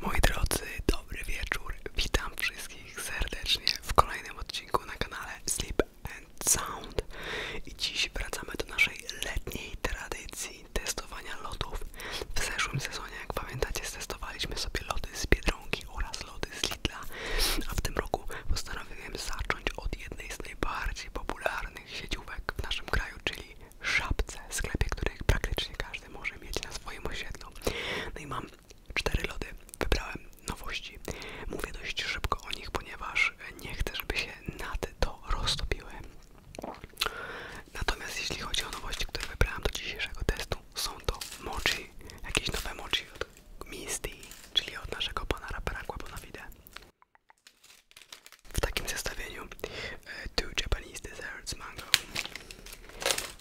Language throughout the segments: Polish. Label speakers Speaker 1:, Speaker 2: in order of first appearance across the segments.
Speaker 1: Moi drodzy, dobry wieczór. Witam wszystkich serdecznie w kolejnym odcinku na kanale Sleep and Sound. I dziś wracamy do naszej letniej tradycji testowania lotów. W zeszłym sezonie, jak pamiętacie, testowaliśmy sobie lody z Biedronki oraz lody z Lidla, a w tym roku postanowiłem zacząć od jednej z najbardziej popularnych sieciówek w naszym kraju, czyli Szapce, sklepie, których praktycznie każdy może mieć na swoim osiedlu. No i mam cztery lody. Wybrałem nowości. Mówię dość szybko o nich, ponieważ nie chcę, żeby się nad to roztopiły. Natomiast jeśli chodzi o nowości, które wybrałam do dzisiejszego testu, są to mochi, jakieś nowe mochi od Misty, czyli od naszego pana rapera Bonavide. W takim zestawieniu e, two Japanese desserts mango,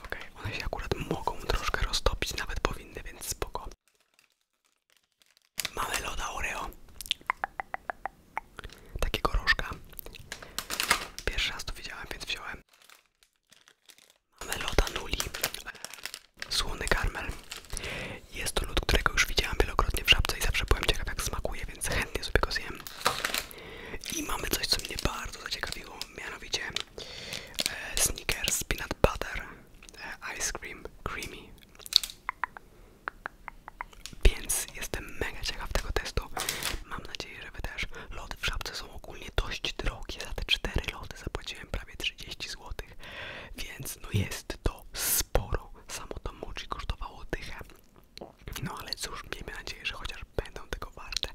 Speaker 1: Okej, one się akurat mogą troszkę roztopić, nawet powinny, więc spoko. Mamy loda Oreo. Takiego rożka. Pierwszy raz to widziałem, więc wziąłem. Mamy loda Nuli. Słony karmel. Jest to lód, którego już widziałem wielokrotnie w żabce i zawsze byłem ciekaw jak smakuje, więc chętnie sobie go zjem. I mamy coś, co mnie bardzo zaciekawiło, mianowicie e, sneaker Snickers Peanut Butter e, Ice Cream Creamy. Więc jestem mega ciekaw tego testu. Mam nadzieję, że Wy też. Lody w szapce są ogólnie dość drogie. Za te 4 lody zapłaciłem prawie 30 zł. Więc no jest to sporo. Samo to mochi kosztowało dychę. No ale cóż, miejmy nadzieję, że chociaż będą tego warte.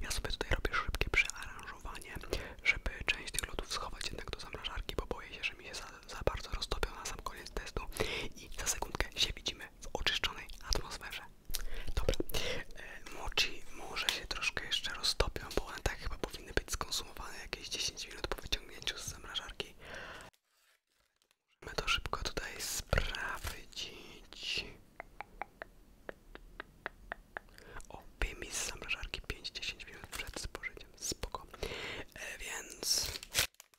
Speaker 1: Ja sobie tutaj robię szybkie przearanżowanie, żeby część tych lodów schować jednak do zamrażarki, bo boję się, że mi się za, za bardzo roztopią na sam koniec testu i za sekundkę się widzimy w oczyszczonej atmosferze. Dobra, e, mochi może się troszkę jeszcze roztopią, bo one tak chyba powinny być skonsumowane jakieś 10 minut po wyciągnięciu z zamrażarki. Możemy to szybko tutaj sprawdzić. O, wyjmij z zamrażarki 5-10 minut przed spożyciem. Spoko. E, więc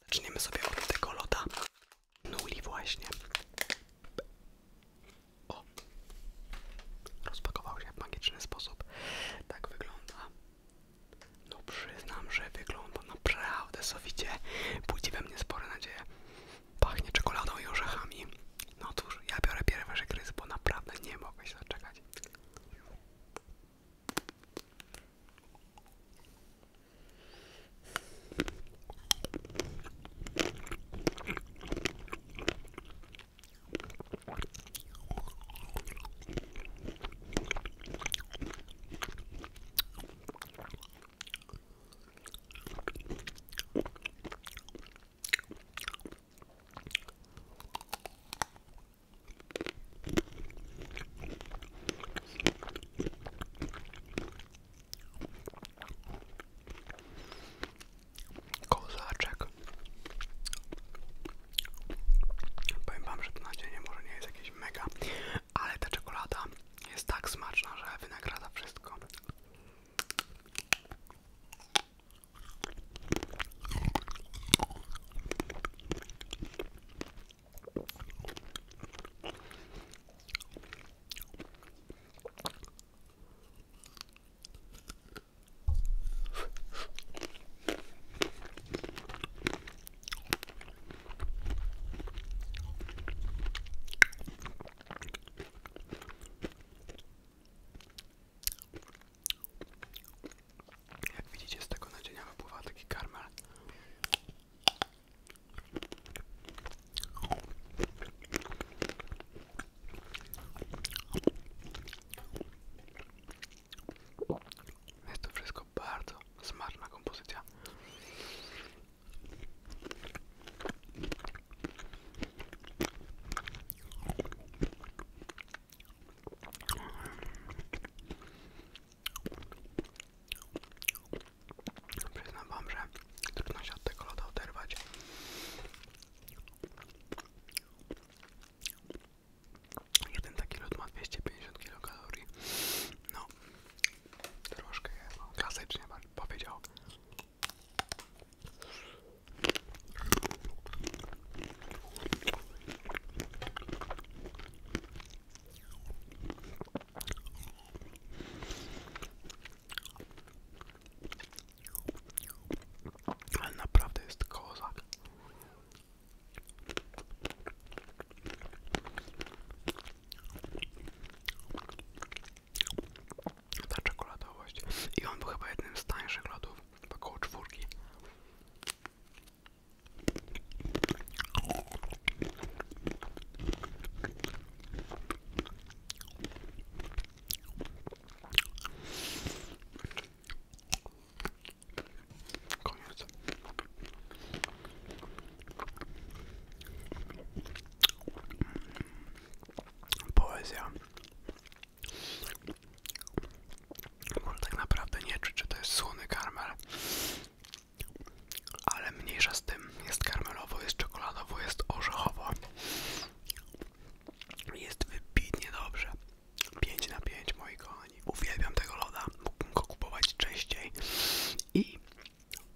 Speaker 1: zaczniemy sobie od tego loda. Nuli no właśnie. O! Rozpakował się w magiczny sposób. Tak wygląda. No przyznam, że wygląda naprawdę sowicie. Budzi we mnie spore nadzieje. Pachnie czekoladą i orzechami. No cóż, ja biorę pierwszy gryz, bo naprawdę nie mogę się doczekać. Kozaczek. Powiem że to na dzień może nie jest jakieś mega, ale ta czekolada jest tak smaczna, że wynagradza wszystko. Jak widzicie, z tego naczynia wypływa Jest to wszystko bardzo smaczna kompozycja. Przyznam wam, że trudno się od tego loda oderwać. Jeden taki lód ma 250 kilokalorii. No, Troszkę je no, klasycznie powiedział. Ale naprawdę jest kozak. Ta czekoladowość. I on był chyba jednym z tańszych lodów, około czwórki. Poezja. Może tak naprawdę nie czuć, że to jest słony karmel. Ale mniejsza z tym. Jest karmelowo, jest czekoladowo, jest orzechowo. Jest wybitnie dobrze. 5 na 5 moi kochani. Uwielbiam tego loda. Mógłbym go kupować częściej. I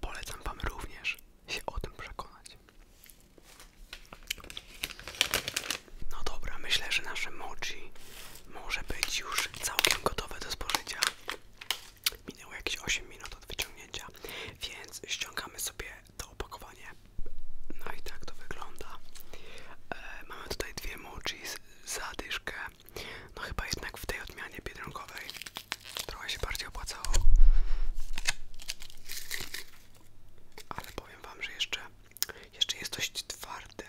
Speaker 1: Polecam Wam również się o tym przekonać. No dobra, myślę, że nasze mochi może być już całkiem gotowe do spożycia. Minęło jakieś 8 minut od wyciągnięcia, więc ściągamy sobie to opakowanie. No i tak to wygląda. E, mamy tutaj dwie mochi z zadyszkę. No chyba jednak w tej odmianie biedronkowej trochę się bardziej opłacało. Ale powiem wam, że jeszcze, jeszcze jest dość twarde.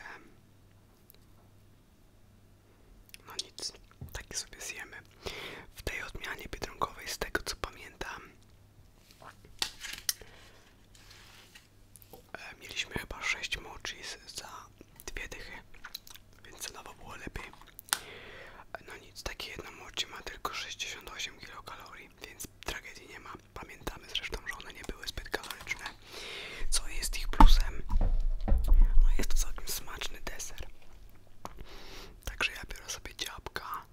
Speaker 1: No nic, tak sobie zjemy. W tej odmianie biedronkowej, z tego co pamiętam, e, mieliśmy chyba sześć mochis za dwie dychy, więc cenowo było lepiej. No nic, takie jedno młocie ma tylko 68 kilokalorii, więc tragedii nie ma. Pamiętamy zresztą, że one nie były zbyt kaloryczne. Co jest ich plusem? No jest to całkiem smaczny deser. Także ja biorę sobie ciapka.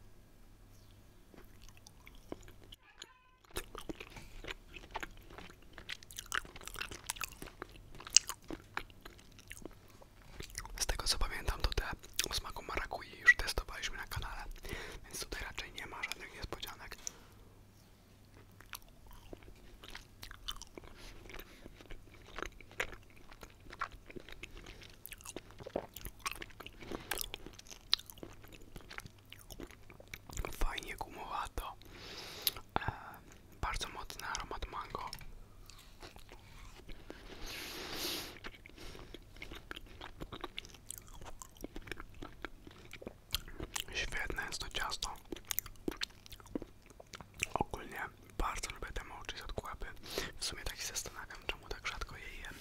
Speaker 1: Z tego co pamiętam, to te o smaku marakui już testowaliśmy na kanale, więc tutaj raczej nie ma żadnych niespodzianek. Fajnie gumowato, E, bardzo mocny aromat mango. Świetne jest to ciasto. Ogólnie bardzo lubię te mołczyć od kłapy. W sumie tak się zastanawiam, czemu tak rzadko je jem.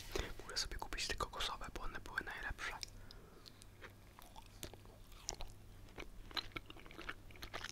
Speaker 1: sobie kupić tylko kokosowe, bo one były najlepsze.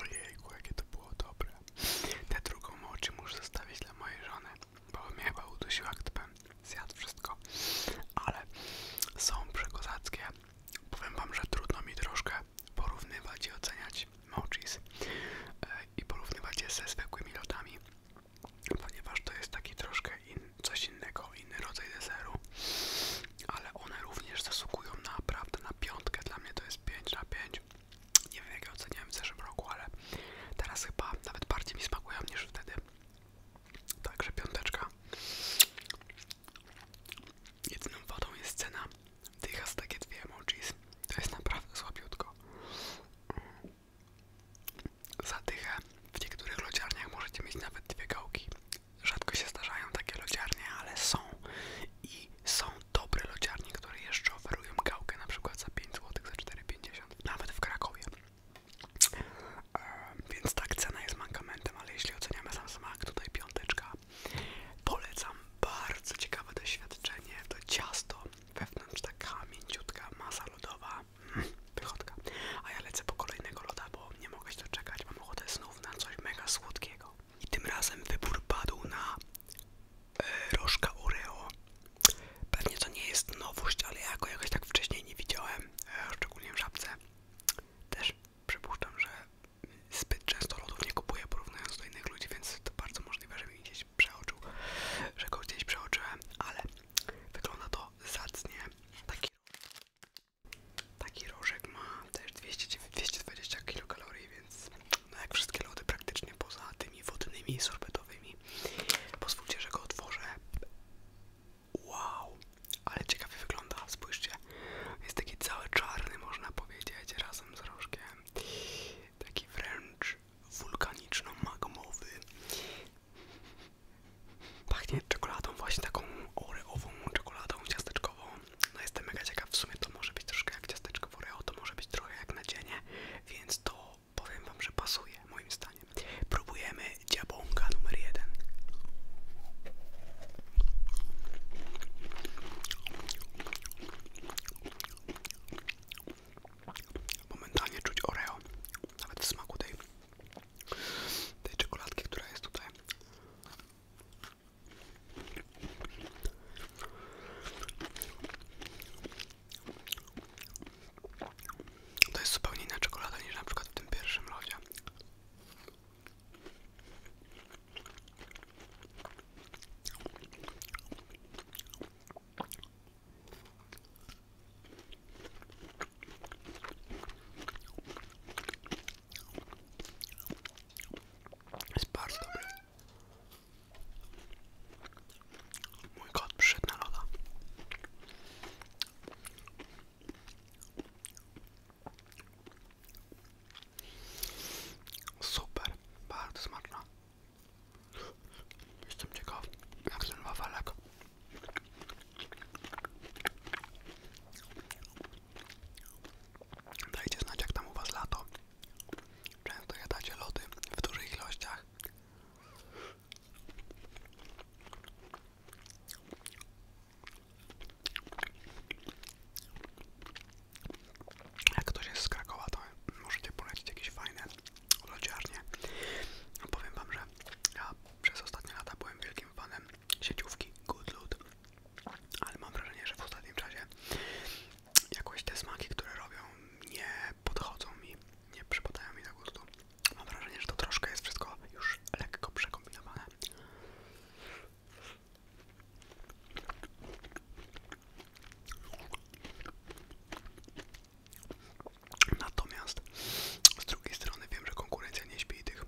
Speaker 1: Ojejku, jakie to było dobre. Tę drugą moczy muszę zostawić dla mojej żony, bo mnie chyba udusiła, gdybym zjadł wszystko. Ale są przekozackie. Powiem wam, że trudno mi troszkę porównywać i oceniać mochis e, i porównywać je ze zwykłymi lotami, ponieważ to jest taki troszkę in, coś innego inny rodzaj deseru, ale one również zasługują naprawdę na piątkę. Dla mnie to jest 5 na 5. Nie wiem jak je oceniałem w zeszłym roku, ale teraz chyba nawet bardziej mi smakują niż wtedy. Także piąteczka. Jedyną wodą jest cena. Dycha z takie dwie emojis. To jest naprawdę słabiutko. Za dychę w niektórych lodziarniach możecie mieć nawet dwie gałki. Rzadko się zdarzają takie lodziarnie, ale są i są dobre lodziarnie, które jeszcze oferują gałkę na przykład za 5 zł, za 4,50 nawet w Krakowie. E, więc tak, cena jest mankamentem, ale jeśli oceniamy sam smak, tutaj piąteczka. Polecam bardzo ciekawe doświadczenie. To ciasto, wewnątrz taka mięciutka masa lodowa, hmm, wychodka. A ja lecę po kolejnego loda, bo nie mogę się doczekać, mam ochotę znów na coś mega słodkiego. I tym razem wybór padł na e, Oreo. Pewnie to nie jest nowość, ale ja go jakoś tak wcześniej nie widziałem, e, szczególnie w żabce. Też przypuszczam, że zbyt często lodów nie kupuję porównując do innych ludzi, więc to bardzo możliwe, że mi gdzieś przeoczył, że go gdzieś przeoczyłem, ale wygląda to zacnie. Taki Taki rożek ma też 200, 220 kilokalorii, więc no jak wszystkie lody praktycznie poza tymi wodnymi i sorbetowymi. Pozwólcie, że go otworzę. Wow, ale ciekawie wygląda, spójrzcie. Jest taki cały czarny, można powiedzieć, razem z rożkiem. Taki wręcz wulkaniczno-magmowy. Pachnie czekoladą, właśnie taką oreową czekoladą ciasteczkową. No jestem mega ciekaw, w sumie to może być troszkę jak ciasteczko w oreo, to może być trochę jak nadzienie, więc to powiem wam, że pasuje moim zdaniem. Próbujemy dziabonka numer jeden. Momentalnie czuć oreo, nawet w smaku tej czekoladki, która jest tutaj. To jest zupełnie inna czekolada niż na przykład w tym pierwszym lodzie. Jest bardzo dobry. Mój kot przyszedł Super, bardzo smaczna. Jestem ciekaw, jak ten wawelek Dajcie znać jak tam u was lato. Często jadacie lody w dużych ilościach. Jak ktoś jest z Krakowa, to możecie polecić jakieś fajne lodziarnie. Powiem wam, że ja przez ostatnie lata byłem wielkim fanem sieciówki Good ale mam wrażenie, że w ostatnim czasie jakoś te smaki, które robią, nie podchodzą mi, nie przypadają mi na gustu. Mam wrażenie, że to troszkę jest wszystko już lekko przekombinowane. Natomiast z drugiej strony wiem, że konkurencja nie śpi tych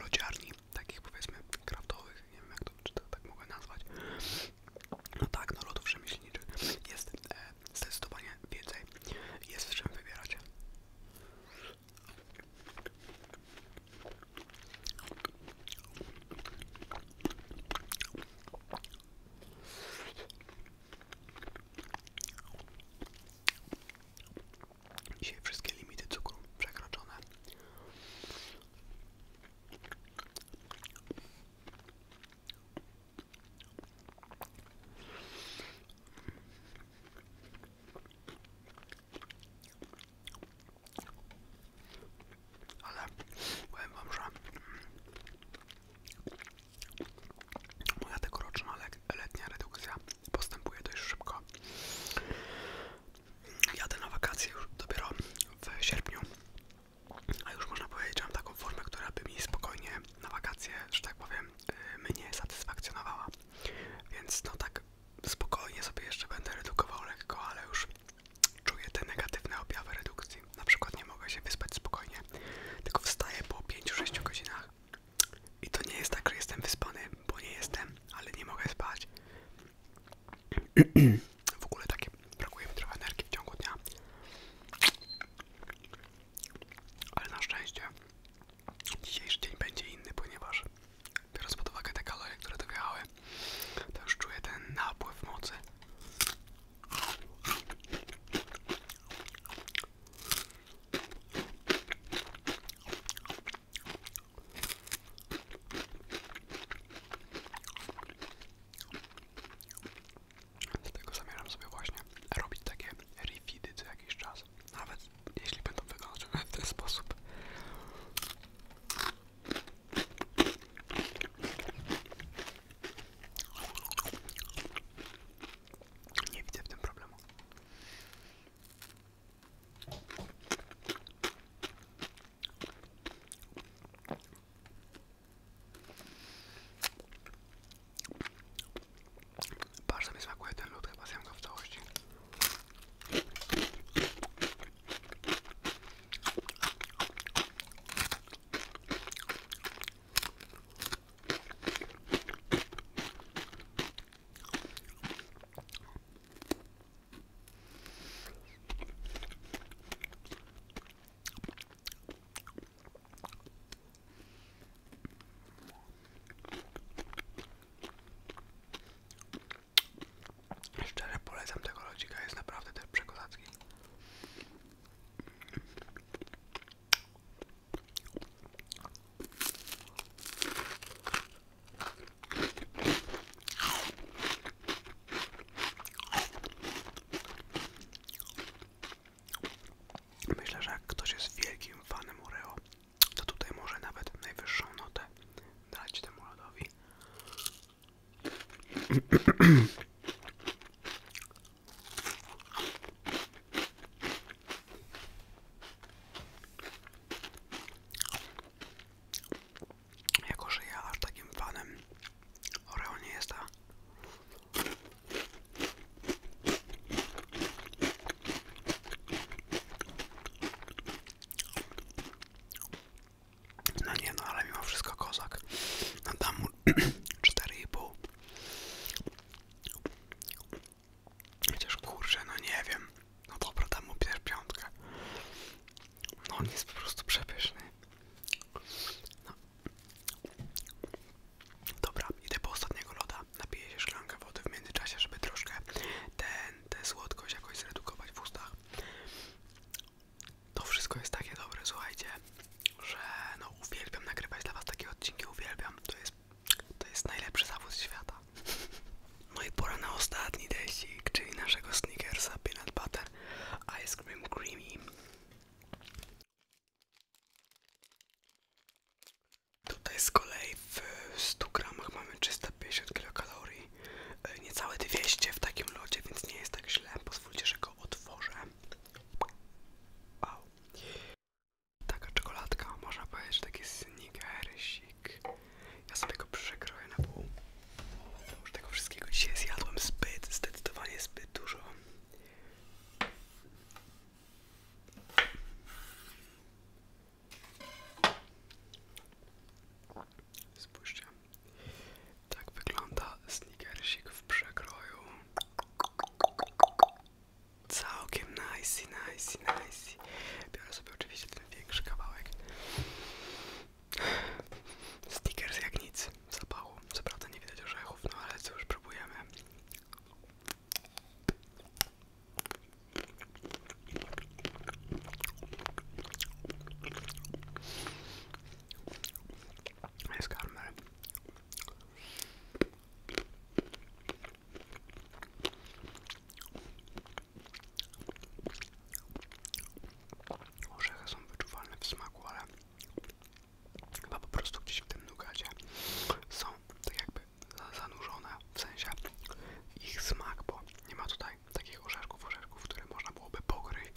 Speaker 1: lodziarni takich powiedzmy kraftowych, nie wiem jak to czy tak mogę nazwać, no tak, no lotów przemyślniczych jest e, zdecydowanie więcej, jest w czym wybierać. Dzisiaj wszystkie limity cukru przekroczone. Ale powiem wam, że moja tegoroczna letnia redukcja postępuję dość szybko. Jadę na wakacje już dopiero w sierpniu, a już można powiedzieć, że mam taką formę, która by mi spokojnie na wakacje, że tak powiem, y, mnie satysfakcjonowała. Więc no tak spokojnie sobie jeszcze będę redukował lekko, ale już czuję te negatywne objawy redukcji. Na przykład nie mogę się wyspać spokojnie, tylko wstaję po 5-6 godzinach i to nie jest tak, że jestem wyspany, bo nie jestem, ale nie mogę spać. w ogóle takie, brakuje mi trochę energii w ciągu dnia. Ale na szczęście dzisiejszy dzień będzie inny, ponieważ biorąc pod uwagę te kalorie, które dojechały, to już czuję ten napływ mocy. Dlatego zamierzam sobie właśnie robić takie refidy co jakiś czas. Nawet jeśli będą wyglądać w ten sposób. Nie widzę problemu. Bardzo mi smakuje ten lód, chyba zjem go w całości. Szczerze polecam tego lodzika, jest naprawdę też przekozacki. Myślę, że ktoś jest wielkim fanem Oreo, to tutaj może nawet najwyższą notę dać temu lodowi. Jako, aż takim fanem Oreo nie jestem. No nie no, ale mimo wszystko kozak. No dam mu 4,5. Chociaż kurczę, no nie wiem. No dobra, dam mu też piątkę. No on jest po prostu przepyszny. No. Dobra, idę po ostatniego loda. Napiję się szklankę wody w międzyczasie, żeby troszkę tę słodkość jakoś zredukować w ustach. To wszystko jest takie dobre, słuchajcie, że no uwielbiam nagrywać dla was takie odcinki, uwielbiam. To jest to jest najlepszy zawód świata. No i pora na ostatni teścik, czyli naszego Snickersa Peanut Butter Ice Cream Creamy. Tutaj z kolei w 100 gramach mamy 350 kilokalorii, e, niecałe 200 w takim lodzie, więc nie jest tak źle. Pozwólcie, że go otworzę. Wow. Taka czekoladka, można powiedzieć, taki snickersik. Ja sobie go przekroję na pół. Już tego wszystkiego dzisiaj zjadłem zbyt, zdecydowanie zbyt dużo. Spójrzcie, tak wygląda snickersik w przekroju. Całkiem nice, nice, nice. Biorę sobie oczywiście ten większy kawałek. Stickers jak nic, zapału. Co prawda nie widać orzechów, no ale co już próbujemy. Jest karmel. Orzechy są wyczuwalne w smaku, ale chyba po prostu gdzieś w tym nugacie są tak jakby zanurzone, w sensie ich smak, bo nie ma tutaj takich orzeszków, orzeszków, które można byłoby pokryć.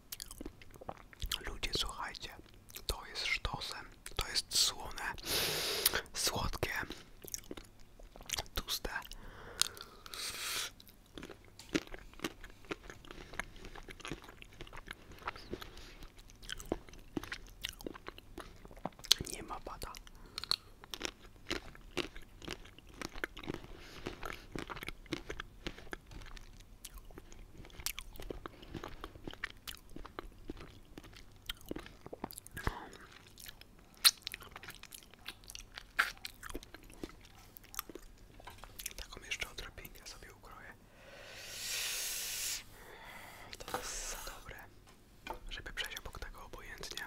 Speaker 1: Ludzie, słuchajcie, to jest sztosem, to jest słone, słodkie, tłuste. Nie ma bada. Taką jeszcze odrobinkę sobie ukroję. To jest za dobre, żeby przejść obok tego obojętnie.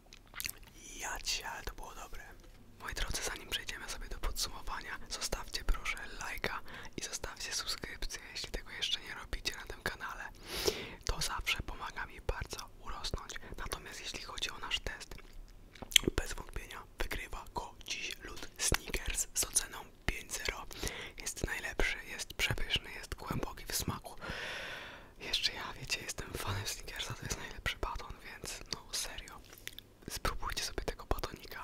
Speaker 1: Jadź, ale to było dobre. Moi drodzy, zanim przejdziemy sobie do podsumowania, zostawcie proszę lajka i zostawcie subskrypcję, jeśli tego jeszcze nie robicie na tym kanale. To zawsze pomaga mi bardzo urosnąć. Natomiast jeśli chodzi o nasz test, bez wątpienia wygrywa go dziś lód Snickers z oceną 5.0. Jest najlepszy, jest przepyszny, jest głęboki w smaku. Jeszcze ja, wiecie, jestem fanem Snickersa, to jest najlepszy baton, więc no serio, spróbujcie sobie tego batonika.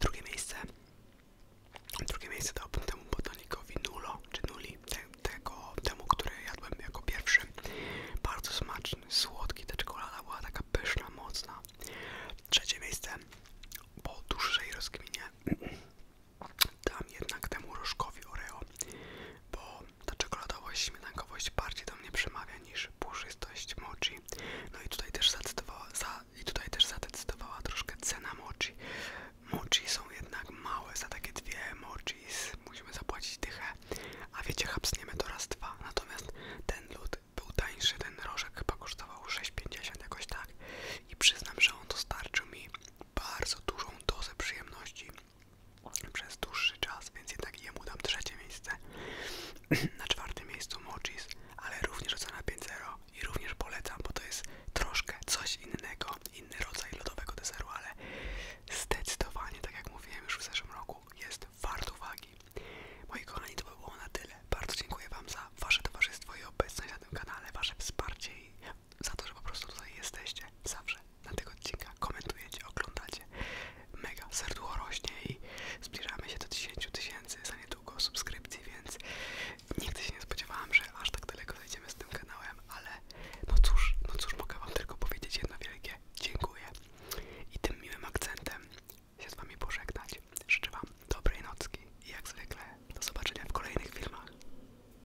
Speaker 1: Drugie miejsce, drugie miejsce dałbym temu batonikowi Nulo, czy Nuli, tego, temu, który jadłem jako pierwszy. Bardzo smaczny, słodki, ta czekolada była taka pyszna, mocna. Trzecie miejsce, po dłuższej rozgminie Dam jednak temu różkowi Oreo, bo ta czekoladowość, śmietankowość bardziej do mnie przemawia niż puszystość mochi. No i tutaj też zadecydowała, za, i tutaj też zadecydowała troszkę cena mochi. Mochi są jednak małe, za takie dwie mochi musimy zapłacić dychę, a wiecie, hapsniemy to raz dwa. Natomiast ten lód był tańszy, ten rożek chyba kosztował 6,50 jakoś tak. I przyznam, że on dostarczył mi bardzo dużą dozę przyjemności przez dłuższy czas, więc jednak jemu dam trzecie miejsce. Na czwartym miejscu Mochis, ale również ocena 5.0 i również polecam, bo to jest troszkę coś innego, inny rodzaj lodowego deseru, ale zdecydowanie, tak jak mówiłem już w zeszłym roku, jest wart uwagi. Moi kochani, to by było na tyle. Bardzo dziękuję Wam za Wasze towarzystwo i obecność na tym kanale, Wasze wsparcie i za to, że po prostu tutaj jesteście zawsze na tego odcinkach, komentujecie, oglądacie. Mega serducho rośnie i zbliżamy się do 10 tysięcy za niedługo subskrypcji, więc nigdy się nie spodziewałam, że aż tak daleko zajdziemy z tym kanałem, ale no cóż, no cóż mogę wam tylko powiedzieć jedno wielkie dziękuję i tym miłym akcentem się z wami pożegnać. Życzę wam dobrej nocki i jak zwykle do zobaczenia w kolejnych filmach.